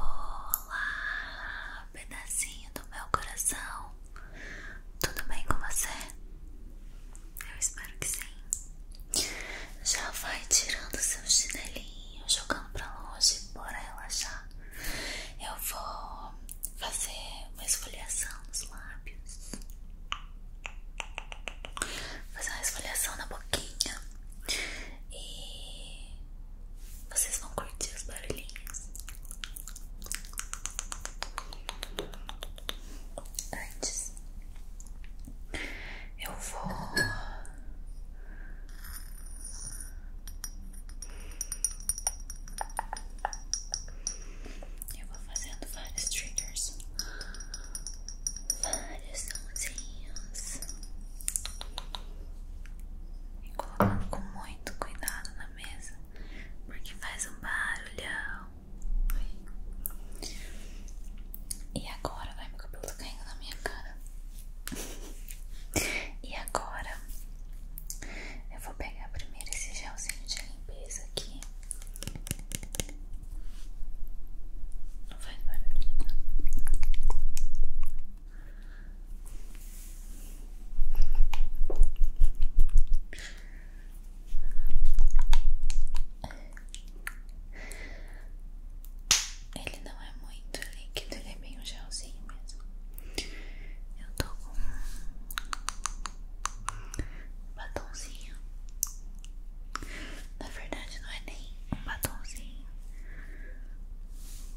Olá, pedacinho do meu coração. Tudo bem com você? Eu espero que sim. Já vai tirando seu chinelinho, jogando pra longe para relaxar. Eu vou fazer uma esfoliação nos lábios. Fazer uma esfoliação na boquinha. E vocês vão curtir os barulhinhos. Antes, eu vou eu vou fazendo vários triggers, vários sonzinhos e colocando com muito cuidado na mesa, porque faz um barulhão. E agora, vai meu cabelo tá caindo na minha cara. e agora, eu vou pegar primeiro esse gelzinho de limpeza aqui. Não faz barulho, tá? Ele não é muito líquido, ele é meio gelzinho mesmo. Eu tô com um batonzinho. Na verdade, não é nem um batonzinho.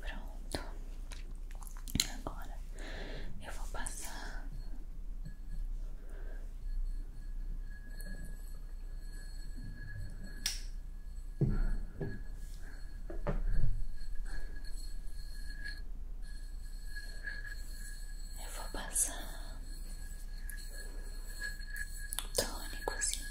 Pronto. Agora eu vou passar eu vou passar tônicozinho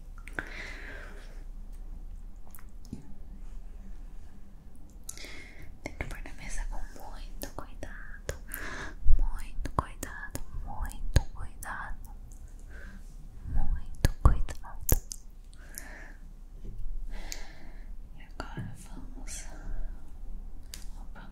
Tem que pôr na mesa com muito cuidado, muito cuidado, muito cuidado, muito cuidado. E agora vamos. Opa.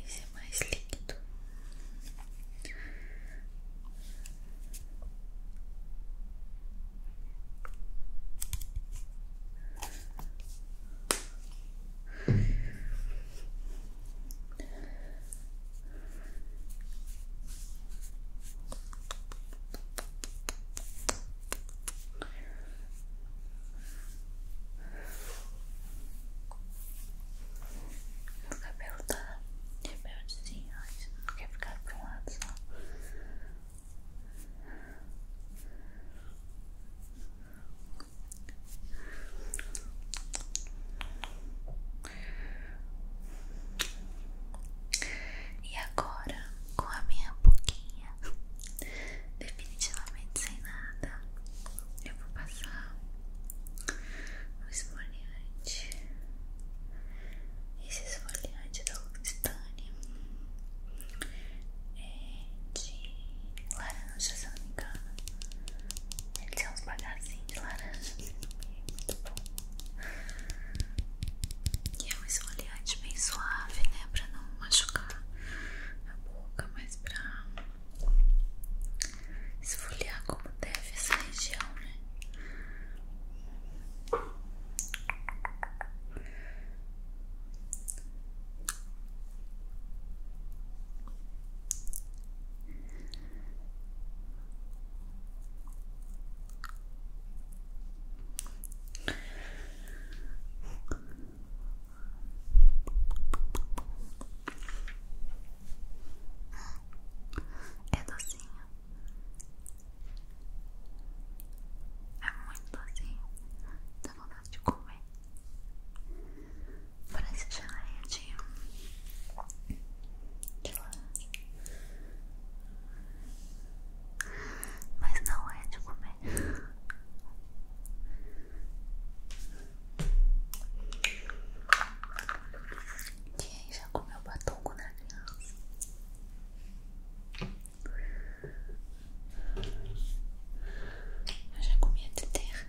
Esse é mais líquido. Meu cabelo tá rebeldezinho, não quer ficar para um lado só. E agora com a minha boquinha de definitivamente sem nada, eu vou passar o esfoliante. Esse esfoliante da Lucistani é de laranja, se eu não me engano. Ele tem uns bagazinhos de laranja, muito bom. E é um esfoliante bem suave, né? Pra não machucar a boca, mas pra esfoliar como deve essa região, né? É docinho, é muito docinho, dá vontade de comer. Parece geleia de, mas não é de comer. Quem já comeu batom quando era criança? Eu já comia de terra.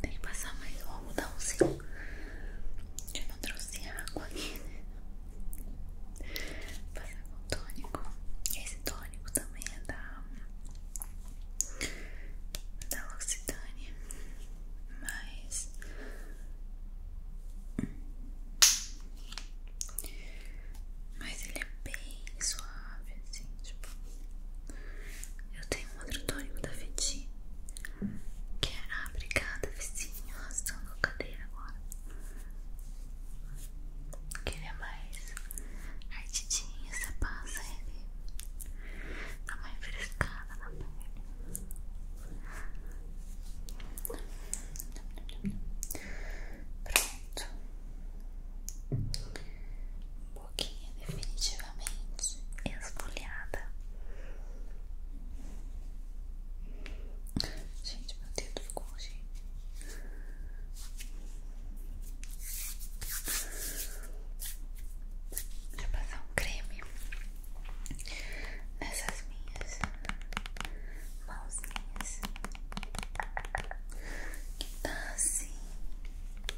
Tem que passar mais um algodãozinho. Eu não trouxe água aqui, né? passar com tônico. Esse tônico também é da. É da L'Occitane. Mas. Mas ele é bem suave, assim, tipo. Eu tenho um outro tônico da Fiti, que é a brigada vizinho arrastando a cadeira agora. Que é mais ardidinho, você passa ele, dá tá uma refrescada na pele. Pronto definitivamente esbulhada. Gente, meu dedo ficou longe. Deixa eu passar um creme nessas minhas mãozinhas que tá assim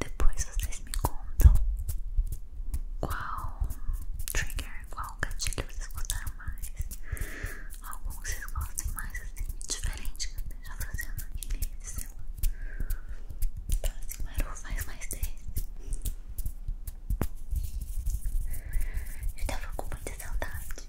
Depois vocês me contam qual trigger, qual gatilho vocês gostaram mais. alguns vocês gostam mais assim, diferente que eu já esteja fazendo aqui nesse celular. Próximo Maru faz mais desse. Eu tava com muita saudade.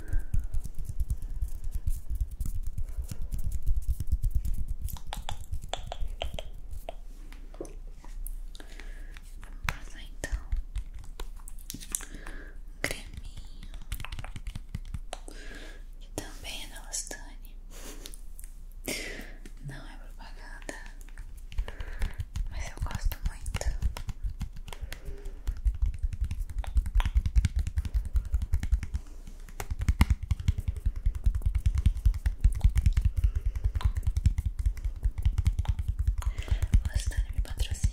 Vamos então um creminho que também é da Lastane. Não é propaganda, mas eu gosto muito. O me patrocina.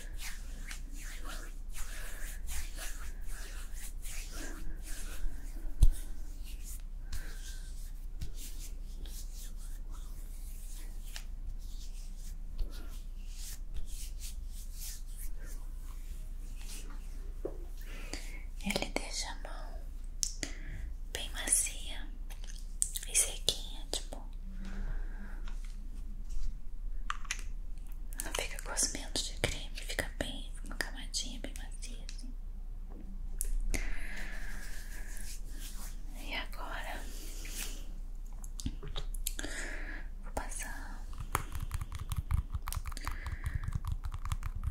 Ele deixa a mão bem macia e sequinha, tipo não fica gosmento de creme, fica bem, uma camadinha bem macia assim. E agora vou passar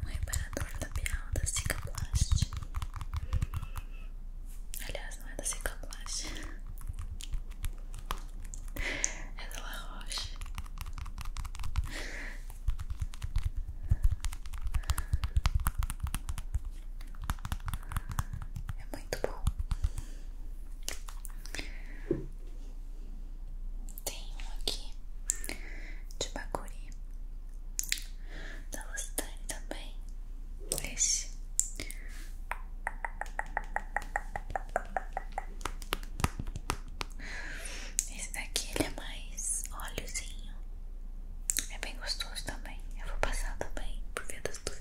um reparador da Bial da Cicaplast. Aliás, não é da Cicloplast, é da La Roche. É muito bom. Tem um aqui de Bacuri da Lustane também. Esse esse daqui ele é mais óleozinho. É bem gostoso também. Eu vou passar também por via das dúvidas.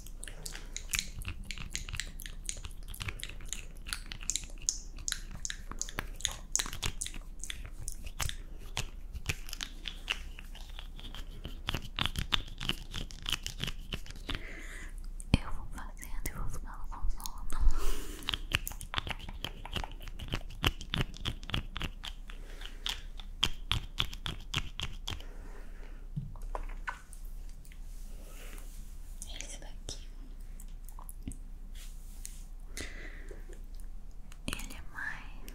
Eu vou fazer, e vou ficando com sono. Esse daqui ele é mais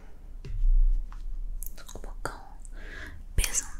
um bocão pesantado.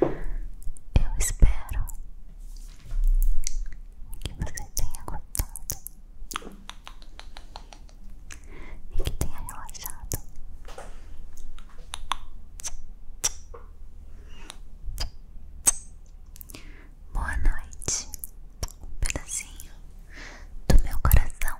Eu espero que você tenha gostado e que tenha relaxado. Boa noite, um pedacinho do meu coração.